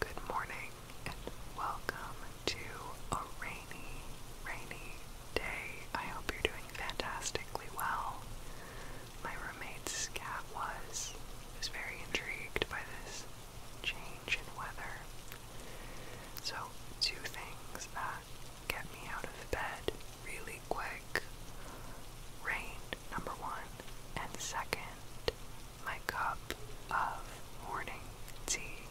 Good morning and welcome to a rainy, rainy day. I hope you're doing fantastically well. My roommate's cat was was very intrigued by this change in weather. So two things that get me out of bed really quick. Rain, number one, and second, my cup of morning tea.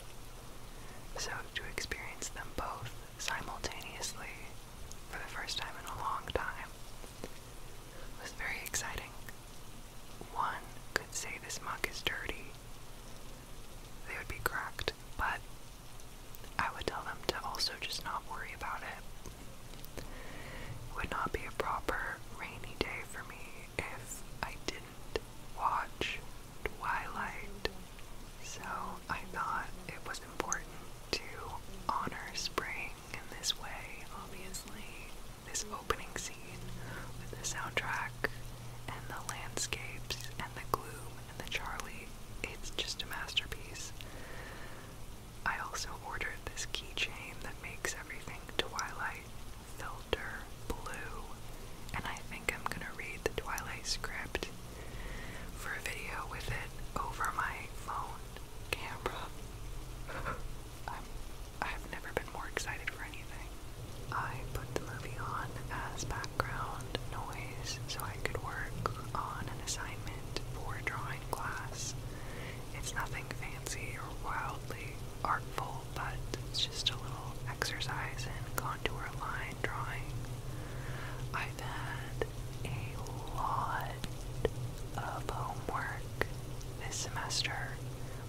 So, to experience them both simultaneously for the first time in a long time was very exciting. One could say this mug is dirty, they would be cracked, but I would tell them to also just not worry about it. It would not be a proper rainy day for me if I didn't watch Twilight, so I thought it was important to honor spring in this way, obviously. This opening scene with the soundtrack and the landscapes and the gloom and the Charlie, it's just a masterpiece. I also ordered this keychain that makes everything Twilight Filter Blue, and I think I'm gonna read the Twilight script for a video with it over my phone camera. i have never been more excited for anything. I put the movie on as background noise so I could work on an assignment for drawing class. It's nothing fancy or wildly artful, but it's just a little exercise in contour line drawing. I've had a lot of homework this semester,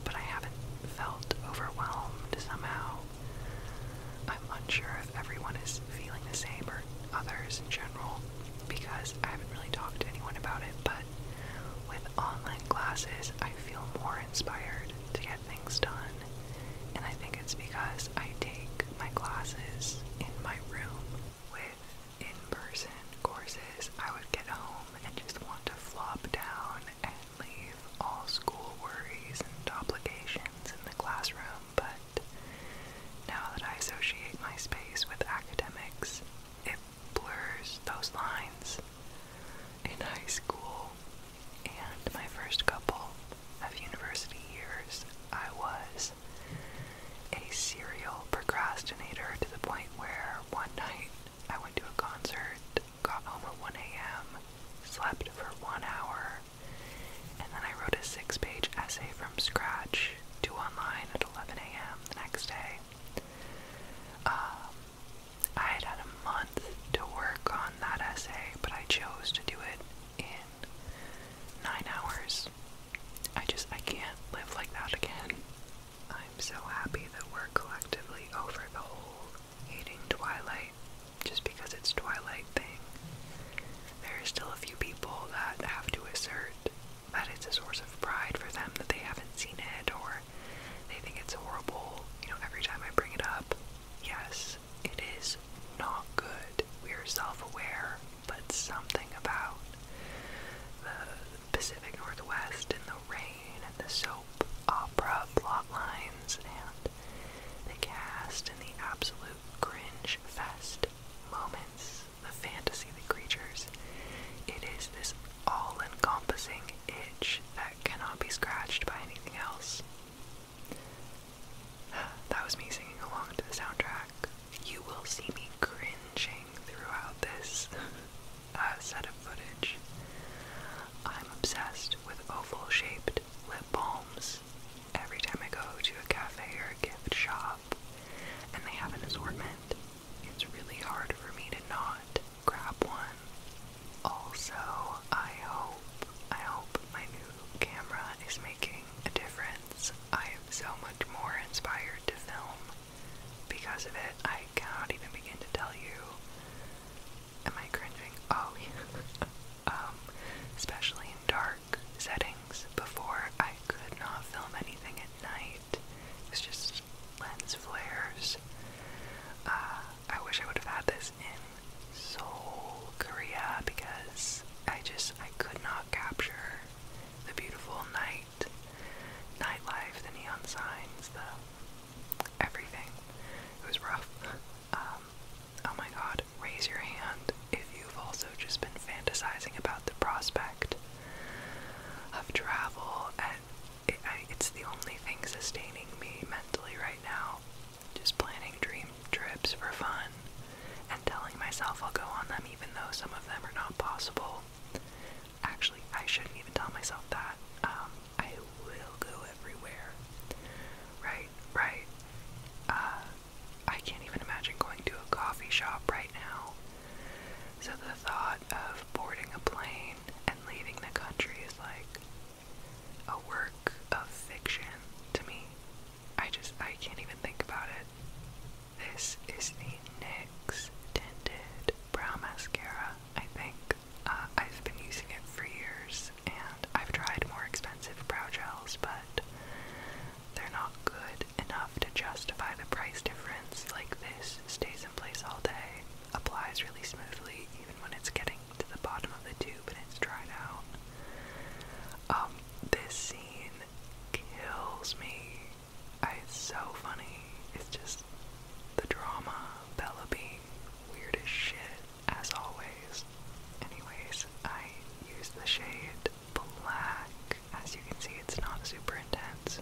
but I haven't felt overwhelmed somehow. I'm unsure if everyone is feeling the same or others in general because I haven't really talked to anyone about it, but with online classes, I feel more inspired to get things done. And I think it's because I take my classes in my room. With in person courses, I would get home and just want to flop down and leave all school worries and obligations in the classroom. But now that I associate my space with academics, it blurs those lines in high school and my first couple of university years. I was a serial procrastinator to the point where one night I went to a concert, got home at 1 a.m., slept for one hour, and then I wrote a six page essay from scratch to online at 11 a.m. the next day. Um, I had had a month to work on that essay, but I chose to do it in nine hours. I just, I can't live like that again. I'm so happy that we're collectively over the whole hating Twilight just because it's Twilight thing. There are still a few people that have to assert that it's a source of pride for them that they haven't seen it or they think it's horrible, you know, every time I bring it up. Yes, it is not good. We are self aware, but something about the Pacific Northwest and the rain and the soap opera plot lines and the cast and the absolute cringe fest moments, the fantasy the creatures. It is this all encompassing itch that cannot be scratched by anything else. That was me singing along to the soundtrack. You will see me cringing throughout this uh, set of footage. I'm obsessed with oval shaped lip balms every time I go to a cafe or a gift shop, and they have an assortment it's really hard for me to not grab one. Also, I hope I hope my new camera is making a difference. I am so much more inspired to film because of it. I cannot even begin to tell you. Am I cringing? Oh yeah. um, especially in dark settings. Before I could not film anything at night. It's just lens flares. Uh, I wish I would have had this in Seoul, Korea, because I just I could not capture the beautiful night, nightlife, the neon signs, the everything. It was rough. Um, oh my God! Raise your hand if you've also just been fantasizing about the prospect of travel and it's the only thing sustaining me mentally right now. Just planning dream trips for fun and telling myself I'll go on them even though some of them are not possible. Actually, I shouldn't even tell myself that. Um, I will go everywhere. Right, right. Uh, I can't even imagine going to a coffee shop right now. So the thought of boarding a plane and leaving the country is like a work of fiction to me. I just, I can't even think about it. This is the NYX Tinted Brow Mascara, I think. Uh, I've been using it for years and I've tried more expensive brow gels, but they're not good enough to justify the price difference like this stays in place all day, applies really smoothly even when it's getting to the bottom of the tube and it's dried out. Um, this scene kills me. it's so funny. It's just the drama, Bella being weird as shit, as always. Anyways, I use the shade black as you can see, it's not super intense.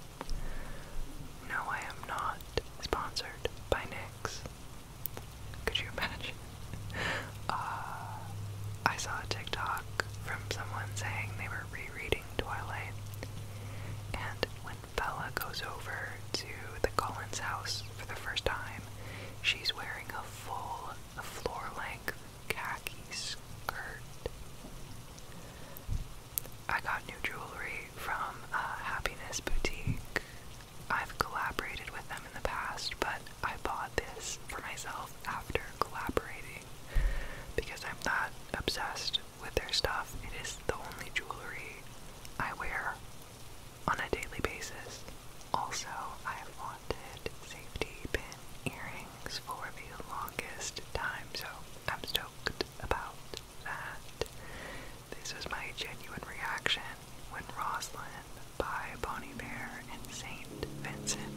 No, I am not sponsored by NYX. Could you imagine? Uh, I saw a TikTok from someone saying they were rereading Twilight, and when Bella goes over to the Collins house for the first time, she's wearing a full floor length khaki skirt. I got new jewelry from uh, Happiness Boutique. I've collaborated with them in the past, but I bought this for myself after collaborating because I'm not obsessed with their stuff. It is the only jewelry I wear on a daily basis. Also, I've wanted safety pin earrings for the longest time, so I'm stoked about that. This is my genuine reaction when Roslyn by Bonnie Bear and Saint Vincent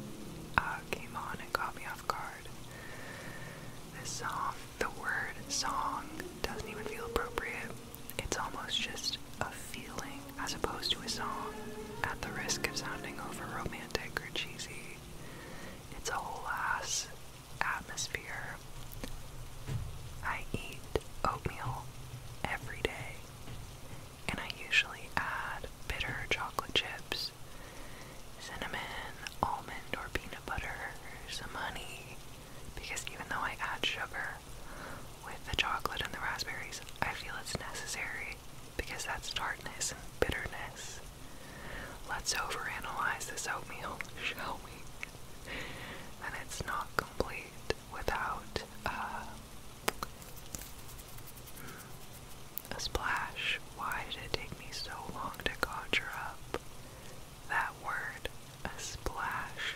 uh, came on and caught me off guard. This song, the word song, doesn't even feel appropriate. It's almost just a feeling as opposed to a song, at the risk of sounding over romantic or cheesy. It's a whole ass atmosphere. I eat oatmeal every day, and I usually add bitter chocolate chips, cinnamon, almond, or peanut butter, or some honey, because even though I add sugar with the chocolate and the raspberries, I feel it's necessary because that's tartness and bitterness. Let's overanalyze this oatmeal, shall we? And it's not complete without uh, a splash. Why did it take me so long to conjure up that word? A splash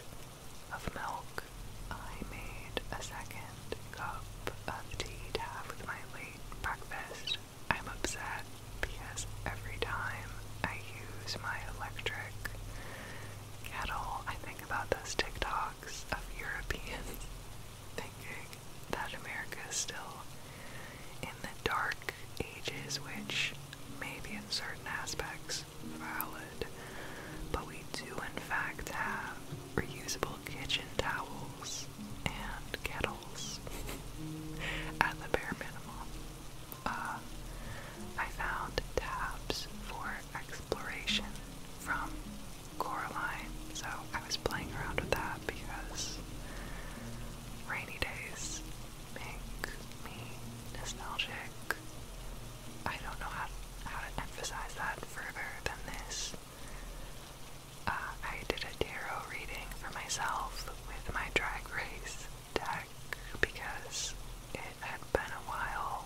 of milk. I made a second cup of tea to have with my late breakfast I'm upset because every time I use my electric kettle, I think about those TikToks of Europeans thinking that America is still in the dark ages, which maybe in certain aspects valid, but we do in fact have reusable kitchen towels and kettles else at the bare minimum. Uh, I found tabs for exploration from Coraline, so I was playing around with that because rainy days make me nostalgic. I don't know how, how to emphasize that further than this. Uh, I did a tarot reading for myself with my Drag Race deck because it had been a while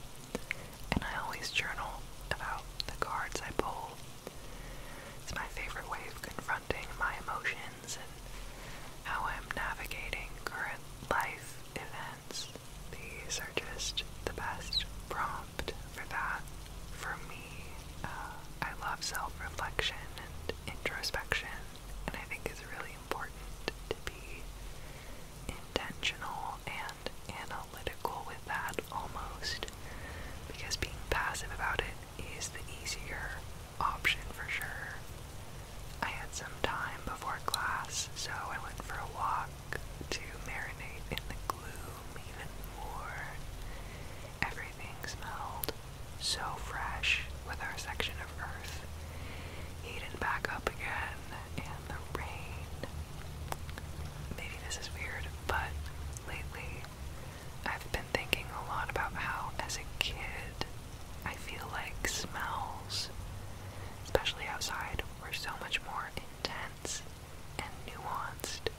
and I always journal about the cards I pull. It's my favorite way of confronting my emotions and how I'm navigating current life events. These are just the best prompt for that for me, uh, I love self-reflection and introspection, and I think it's really important to be intentional and analytical with that almost, because being passive about it is the easier option for sure. I had some time before class, so I went for a walk to marinate in the gloom even more. Everything smelled so fresh with our section of earth heating back up again and the rain. Maybe this is weird, but lately I've been thinking a lot about how, as a kid, I feel like smells, especially outside, were so much more intense and nuanced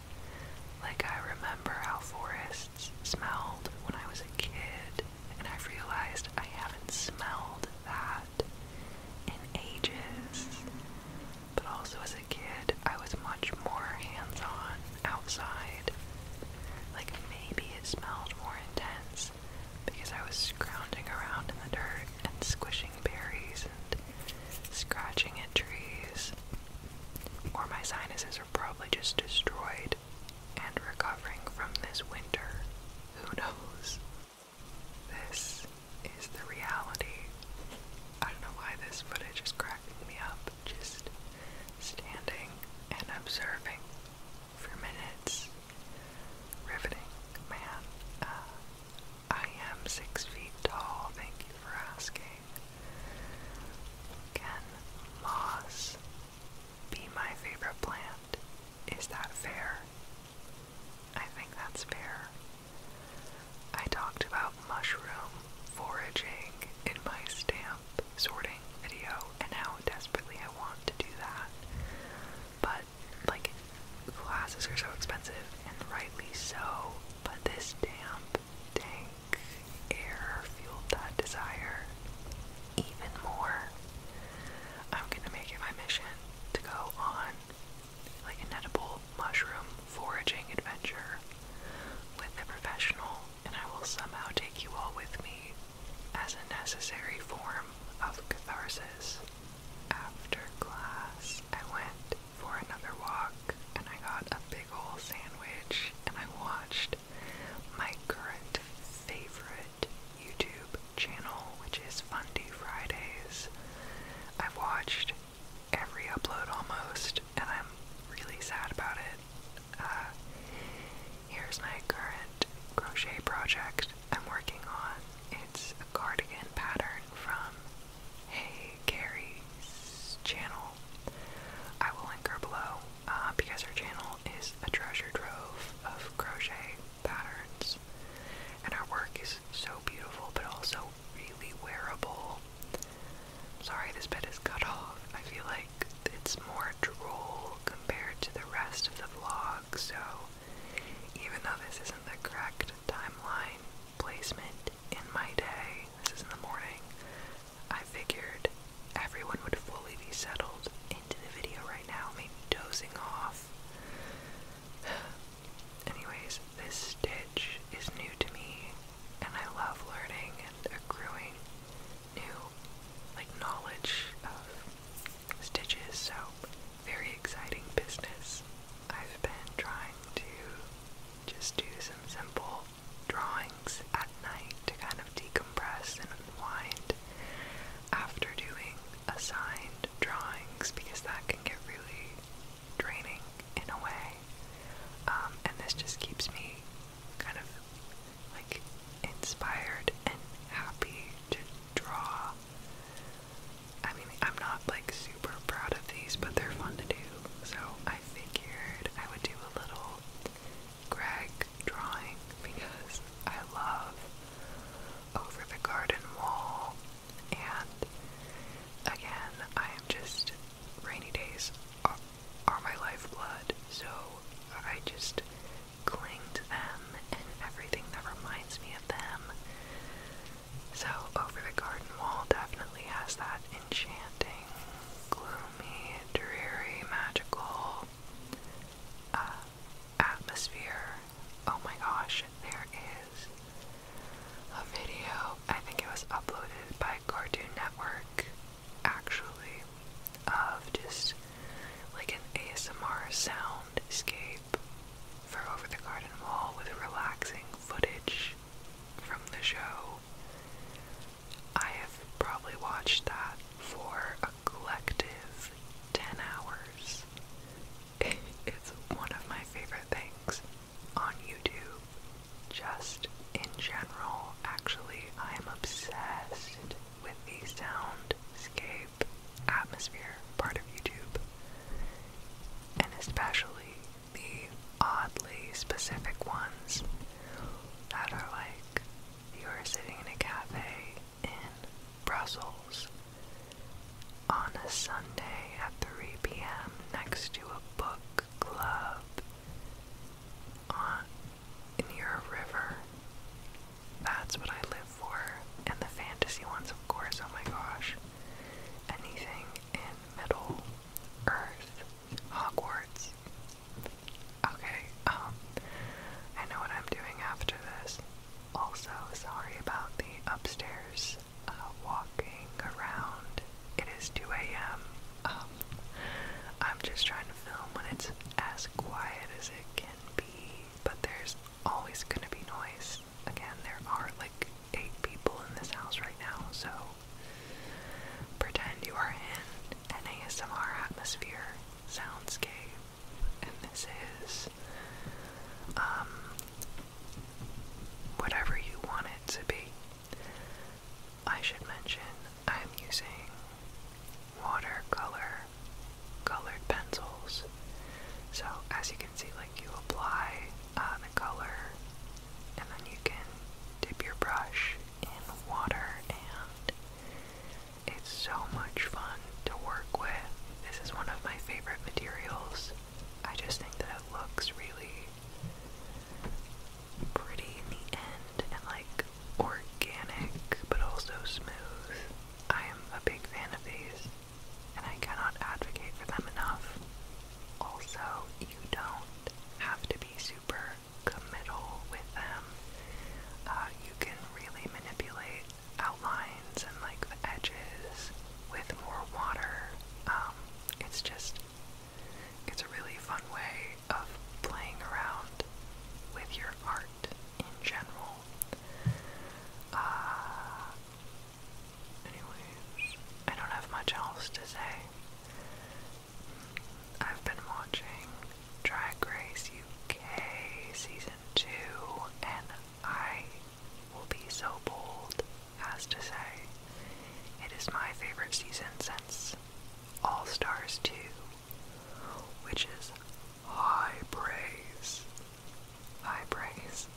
like, I remember how forests smelled when I was a kid, and I've realized I haven't smelled that in ages. But also, as a kid, I was much more hands on outside. Like, maybe it smelled more intense because I was scrounging around in the dirt and squishing berries and scratching at trees. Or my sinuses probably just destroyed and recovering from this winter. Who knows? This is the reality. I don't know why this footage is cracking me up. Just standing and observing for minutes. Riveting, man. Uh, I am six feet tall, thank you for asking. Can moss be my favorite plant? Is that fair? I think that's fair. I talked about mushroom foraging in my stamp sorting video and how desperately I want to do that. But, like, classes are so expensive, and rightly so, but this stamp dank air fueled that desire even more. I'm gonna make it my mission to go on like an edible mushroom foraging adventure with a professional, and I will somehow take you all with me as a necessary form of catharsis. After class, I went for another walk and I got a big ol' sandwich and I watched my current favorite YouTube channel, which is Fundy Fridays. I've watched every upload almost, and I'm really sad about it. Uh, here's my current crochet project I'm working on. It's a cardigan pattern from Hey Carrie's channel. I will link her below uh, because her channel is a treasure trove of crochet patterns, and her work is so beautiful but also really wearable. Sorry, this bit is cut off. I feel like it's more droll compared to the rest of the vlog, so even though this isn't the correct timeline, placement in my day, this is in the morning, I figured everyone would fully be settled into the video right now, maybe dozing off. Anyways, this stitch is new to me, and I love learning and accruing new, like, knowledge of stitches, so very exciting business. I've been trying to just do some simple drawings at night to kind of decompress and unwind after doing assigned drawings because that can get really draining in a way. Um, and this just keeps me kind of like inspired and happy to draw. I mean, I'm not like super proud of these, but they're fun to do, so I figured I would do a little Greg drawing because I love Over the Garden Wall, and again, I am just rainy days are, are my lifeblood, so I just cling to them and everything that reminds me of them. So, Over the Garden Wall definitely has that enchanting gloomy, dreary, magical uh, atmosphere. Oh my gosh, there is a video. I think it was uploaded by Cartoon Network, actually, of just like an ASMR sound soundscape for Over the Garden Wall with relaxing footage from the show. I have probably watched that for a collective 10 hours. It's one of my favorite things on YouTube. Just in general, actually, I am obsessed with the soundscape atmosphere part of YouTube. And especially the oddly specific ones that are like you are sitting in a cafe in Brussels on a Sunday at 3 p.m. next to a book club on near a river. That's what I live for. And the fantasy ones, of course, oh my gosh. Anything in Middle Earth Hogwarts. Okay, um, I know what I'm doing after this. Also, sorry about the upstairs uh, walking around. It is 2 a.m. Um, I'm just trying to film when it's as quiet as it can be, but there's always gonna be noise. Again, there are like eight people in this house right now, so pretend you are in an ASMR atmosphere soundscape, and this is um, whatever you want it to be. I should mention I'm using watercolor colored pencils. So as you can see, like you apply uh, the color, and then you can dip your brush in water, and it's so much fun to work with. This is one of my favorite materials. I just think that it looks really pretty in the end and like organic but also smooth. I am a big fan of these and I cannot advocate for them enough. Also, you don't have to be super committal with them. Uh, you can really manipulate outlines and like the edges with more water. Um, it's just, it's a really fun way of playing around with your art in general. Uh, Anyways, I don't have much else to say. I've been watching Drag Race UK Season 2, and I will be so bold as to say it is my favorite season since All Stars 2, which is high praise. High praise.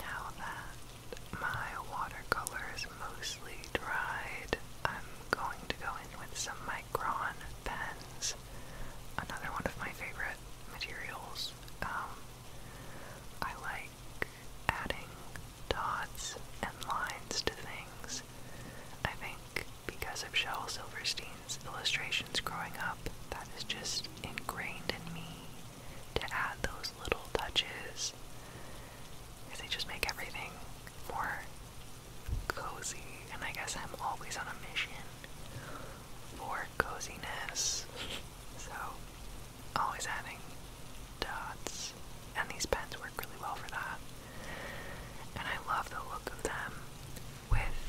Now that my watercolor is mostly dried, I'm going to go in with some Micron pens, another one of my favorite materials. Um, I like adding dots and lines to things. I think because of Shel Silverstein's illustrations growing up, that is just ingrained in me to add those little touches they just make everything more cozy. And I guess I'm always on a mission for coziness. So, always adding dots. And these pens work really well for that. And I love the look of them with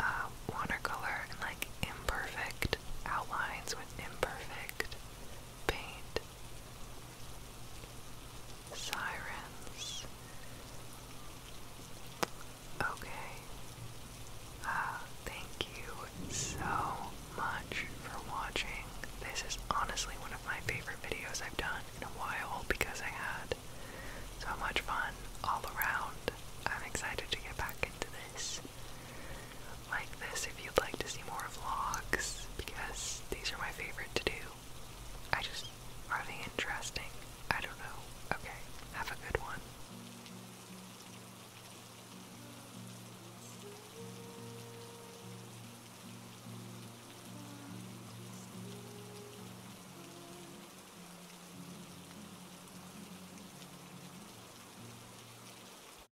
uh, watercolor and like imperfect outlines with imperfect paint. Sirens. Okay. Uh, thank you so much for watching. This is honestly one of my favorite videos I've done in a while because I had so much fun all around. I'm excited to get back into this like this if you'd like to see more vlogs because these are my favorite to do. I just, are they interesting? I don't know. Okay, have a good one.